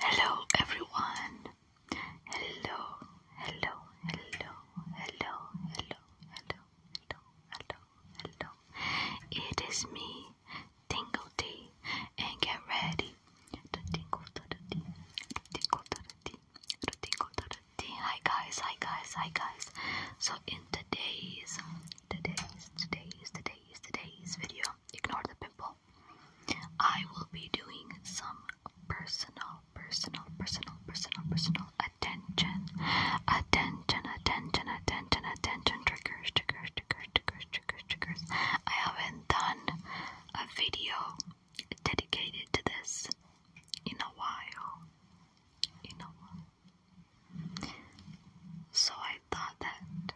Hello everyone. Hello, hello, hello, hello, hello, hello, hello, hello, hello. It is me, Tingle Tea, and get ready to tingle to the tea, to tingle to the tea, to tingle to the tea. Hi guys, hi guys, hi guys. So in today's, today's, today's, today's, today's video, ignore the pimple channel, I will be doing some personal, personal, personal, personal, personal attention, attention, attention, attention, attention triggers, triggers, triggers, triggers, triggers, triggers. I haven't done a video dedicated to this in a while. In a while. So I thought that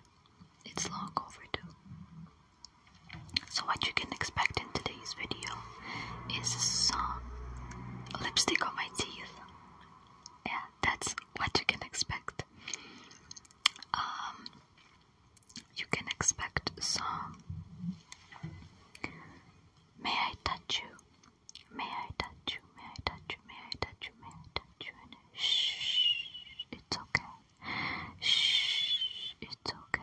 it's long overdue. So what you can expect in today's video is some lipstick on my teeth. Yeah, that's what you can expect. Um, you can expect some. May I touch you? May I touch you? May I touch you? May I touch you? May I touch you? And shh, it's okay. Shh, it's okay.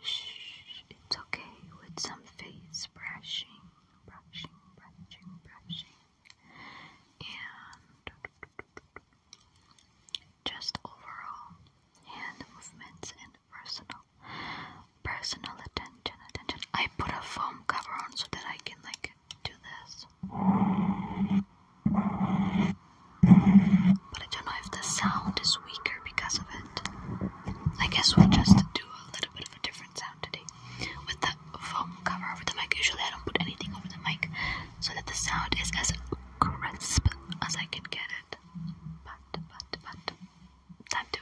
Shh, it's okay with some face brushing, brushing, brushing, brushing. And just overall hand movements and personal personal attention attention I put a foam cover on so that I can like do this but I don't know if the sound is weaker because of it. I guess we'll just do a little bit of a different sound today with the foam cover over the mic. Usually I don't put anything over the mic so that the sound is as crisp as I can get it. But, but, but, time to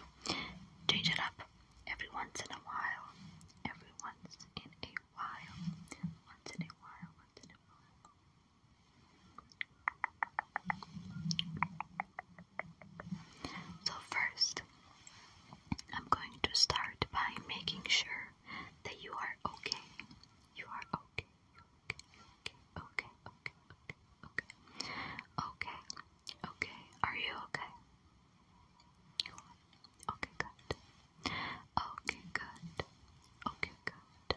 change it up every once in a while. Every once in a while. Once in a while, once in a while. So, first, I'm going to start by making sure that you are okay. You are okay, okay, okay, okay, okay, okay, okay, okay. Are you okay? Okay, good. Okay, good. Okay, good.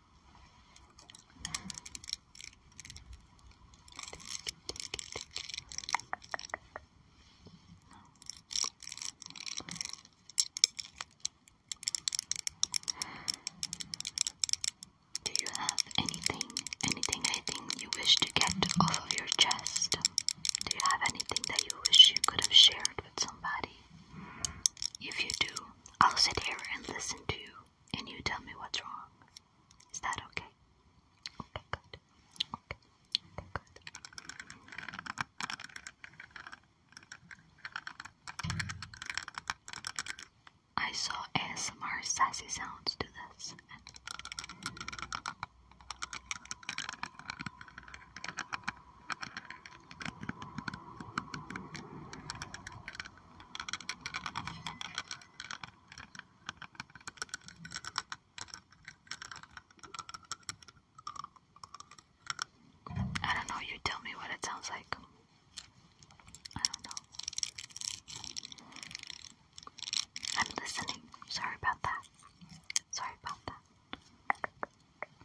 do you have anything, anything I you wish to get off of your chest? Do you have anything that you wish you could have shared with somebody? If you do, I'll sit here and listen to you, and you tell me what's wrong. Is that okay? Okay, good. Okay, okay good. I saw ASMR sassy sounds do this. I don't know, you tell me what it sounds like. I don't know. I'm listening. Sorry about that. Sorry about that.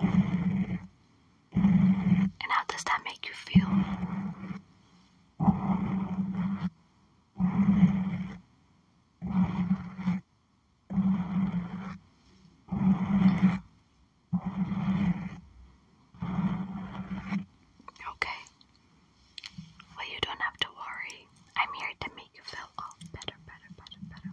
And how does that make you feel? Okay. Well, you don't have to worry. I'm here to make you feel all better, better, better, better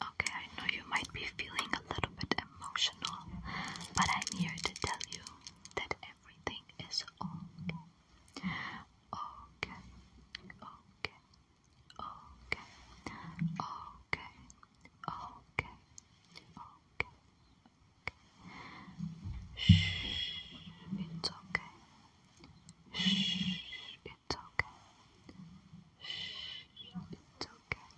Okay, I know you might be feeling a little bit emotional, but I'm here to tell you that everything is okay. Okay, okay, okay, okay, okay, okay, okay. Shh, it's okay. Shh, it's okay. Shh, it's okay.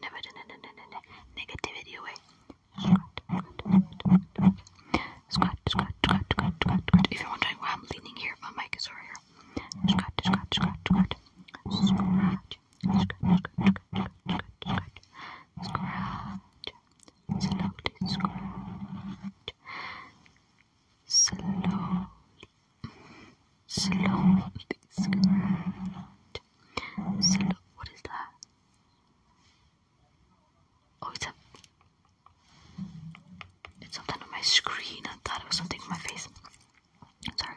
never negativity away. Squat, squat, squat, squat, squat, squat. If you're wondering why I'm leaning here, my mic is over here. Squat, squat, squat, squat. Scratch, scratch, scratch, scratch, scratch, scratch. Slowly scratch. Slowly Slow. what is that? Oh, it's a. It's something on my screen. I thought it was something on my face. Sorry.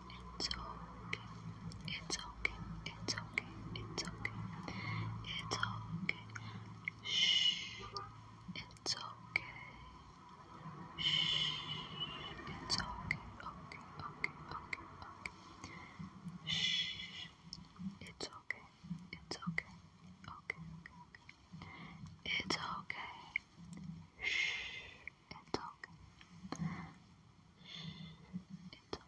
it's okay. It's okay. It's okay. It's okay. It's okay. Shh. It's okay. Shh. It's okay. Okay. Okay. Okay. Okay. Shh. It's okay. It's okay. Okay. Okay. Okay. It's okay. Shh. It's okay. It's okay. It's okay.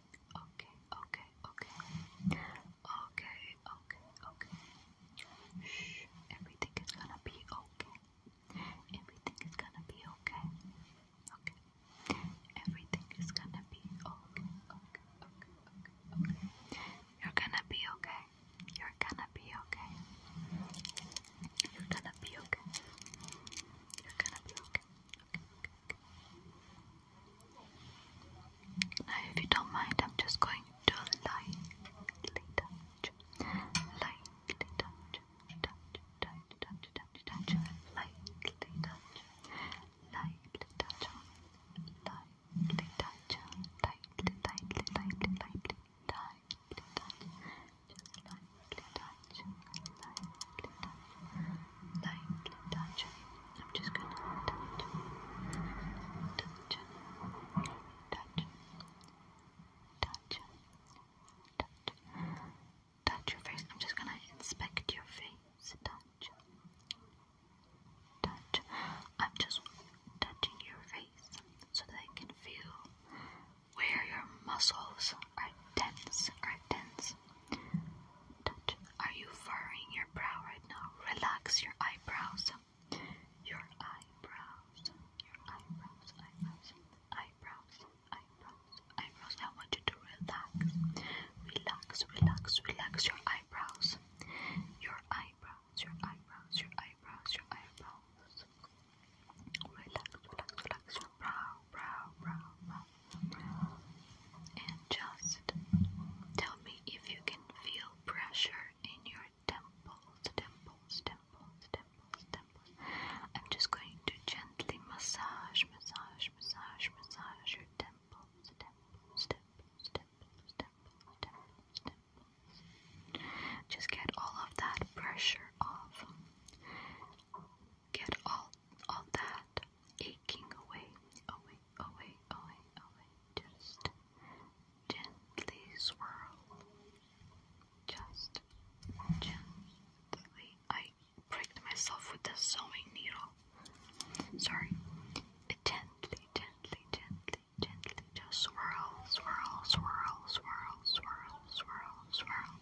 Okay, okay, okay. Okay, okay, okay. Shh, everything is gonna be okay. Everything is gonna be okay. Okay. Everything is gonna be okay. Okay, okay, okay, okay. You're gonna be okay. You're gonna be okay. You're gonna be okay. You're gonna be okay. Okay, okay, now, if you don't mind, I'm just going to lightly touch, lightly touch, touch, touch, touch, touch, touch, lightly touch, lightly touch, lightly touch, lightly, lightly, touch, lightly touch, lightly touch. I'm just gonna touch, touch, touch, touch, touch, touch your face. I'm just gonna inspect your face. Touch, touch. I'm just touching your face so that I can feel where your muscles are tense, are tense. Touch. Are you furrowing your brow right now? Relax your eyebrows. Your eyebrows. Your eyebrows. Eyebrows. Eyebrows. Eyebrows. I want you to relax. Relax. Relax. Relax your eyebrows. Your eyebrows. Your eyebrows. Your eyebrows. Your eyebrows. Relax. Relax. Relax and just tell me if you can feel pressure in your temples, temples, temples, temples, temples. I'm just going to gently massage, massage, massage, massage your temples, temples, temples, temples, temples, temples, temples. Just get all of that pressure off. Get all all that aching away, away, away, away, away. Just gently swirl. Just gently. I pricked myself with the sewing needle. Sorry. Gently, gently, gently, gently. Just swirl, swirl, swirl, swirl, swirl, swirl, swirl.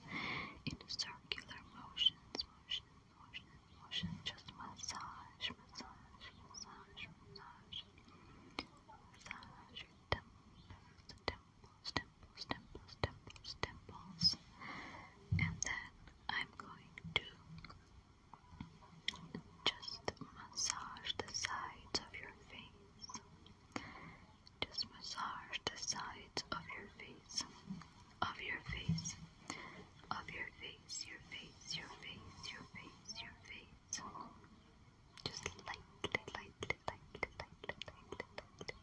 In circular motions, motions, just massage, massage, massage, massage. Massage temples, temples, temples, temples, temples, temples. And then I'm going to just massage the sides of your face. Just massage the sides of your face of your face, of your face, your face, your face, your face, your face. Just lightly, lightly, lightly, lightly, lightly, lightly,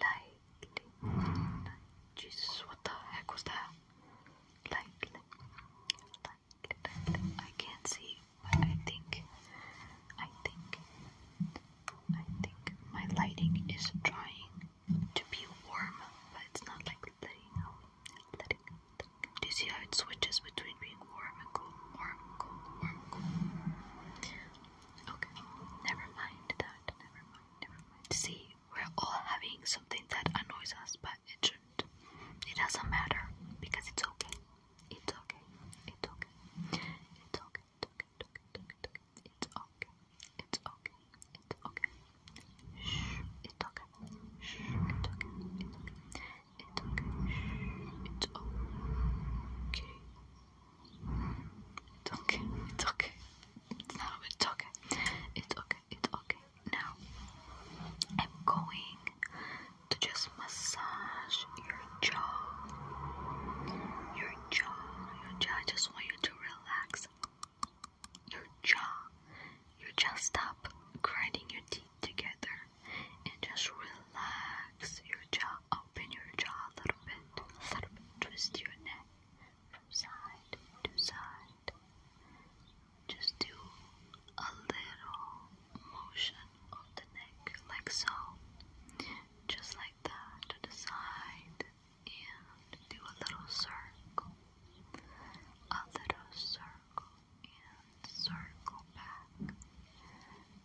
lightly, lightly. Jesus, what the heck was that? Lightly, lightly, lightly. I can't see, but I think, I think, I think my lighting is drying to be warm, but it's not like letting out. Do you see how it switches between being warm and cold, warm, cold, warm, cold? Okay, never mind that. Never mind, never mind. See, we're all having something that annoys us, but it shouldn't. It doesn't matter because it's okay. It's okay. It's okay. It's okay. It's okay. It's okay. It's okay. Shh. It's okay. Shh. It's okay. It's okay. It's okay. Shh. It's okay. It's okay. It's okay. Now it's okay. It's okay. It's okay. Now I'm going to just massage your jaw. Your jaw. Your jaw. I just want you to relax your jaw. You just stop grinding your teeth together and just relax your jaw. Open your jaw a little bit, a little bit. Twist your neck from side to side. Just do a little motion of the neck, like so. Just like that, to the side, and do a little circle, a little circle, and circle back,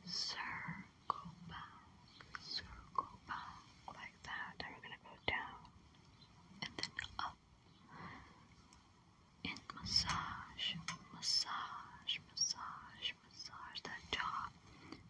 circle back, circle back, like that. And we're gonna go down and then up and massage, massage, massage, massage that jaw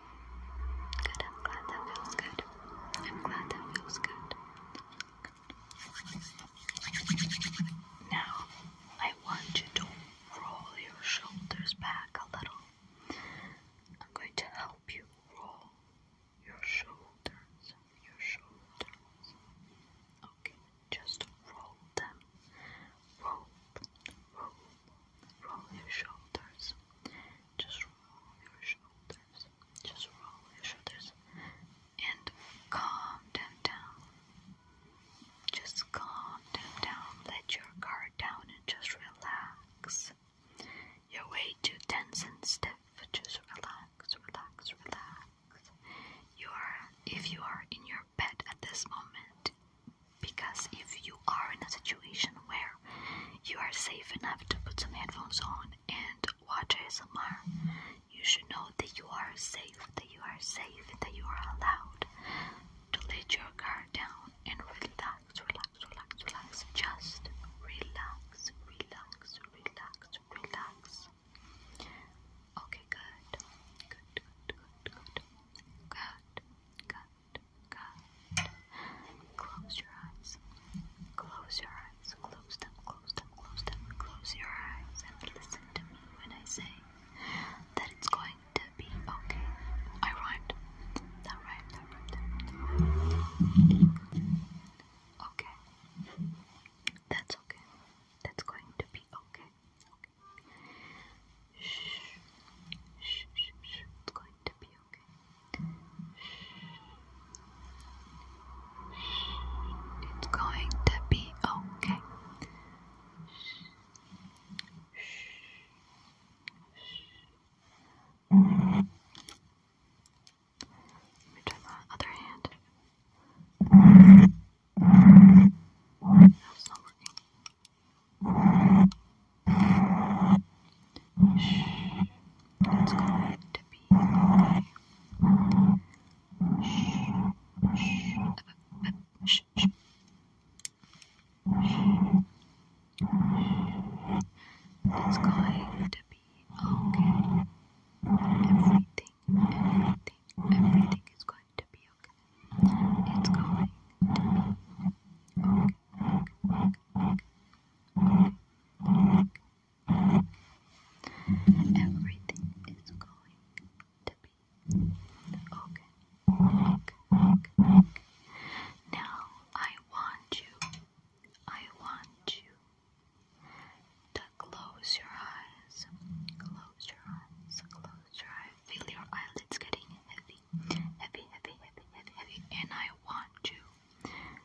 Good, I'm glad that feels good. I'm glad that feels good. Now, I want you to roll your shoulders back a little. I'm going to help you roll your shoulders, your shoulders. Okay, just roll them. Roll, roll, roll your shoulders. Just roll your shoulders. Just roll your shoulders and calm down. Just calm down. Let your guard down and just relax. You're way too tense and stiff. Just relax, relax, relax. You are if you are in your bed at this moment, because if you are in a situation where you are safe enough to put some headphones on and watch ASMR, you should know that you are safe, that you are safe, that you are allowed to let your car down and relax, relax, relax, relax. Just relax, relax, relax, relax. Okay, good. Good, good, good, good. Good, good, good. Close your eyes. Close your eyes. Close them, close them, close them. Close your eyes and listen to me when I say that it's going to be okay. I rhymed. That rhymed, that rhymed, Okay. That's okay. That's going to be okay. Okay. Shh. Shh, shh, shh. It's going to be it's going to be okay. Let me try the other hand. That's not working. Shh. It's going to be okay. Shh. Shh. Shh. Shh. It's going to be okay. Everything, everything, everything is going to be okay. It's going to be okay. Everything is going to be okay. okay, okay, okay. Now I want you, I want you to close your eyes. Close your eyes, close your eyes. Feel your eyelids getting heavy, heavy, heavy, heavy, heavy, heavy. And I want you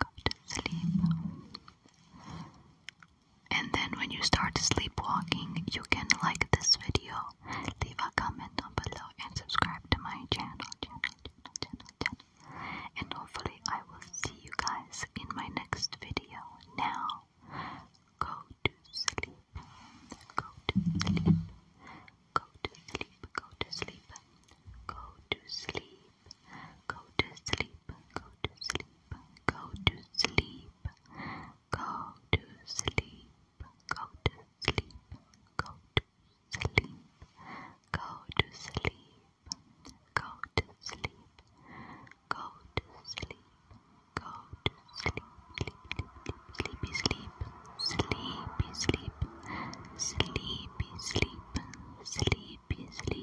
go to sleep. And then when you start sleepwalking, you can like this video, leave a comment down below, and subscribe to my channel, channel, channel, channel, channel. And hopefully I will see you guys in my next video. Now, go to sleep, go to sleep, go to sleep, go to sleep, go to sleep, go to sleep, go to sleep, go to sleep, go to sleep, go to sleep, go to sleep, go to sleep, go to sleep, go to sleep, go to sleep, sleep, sleep, sleepy sleep, sleepy sleep, sleepy sleep, sleepy sleep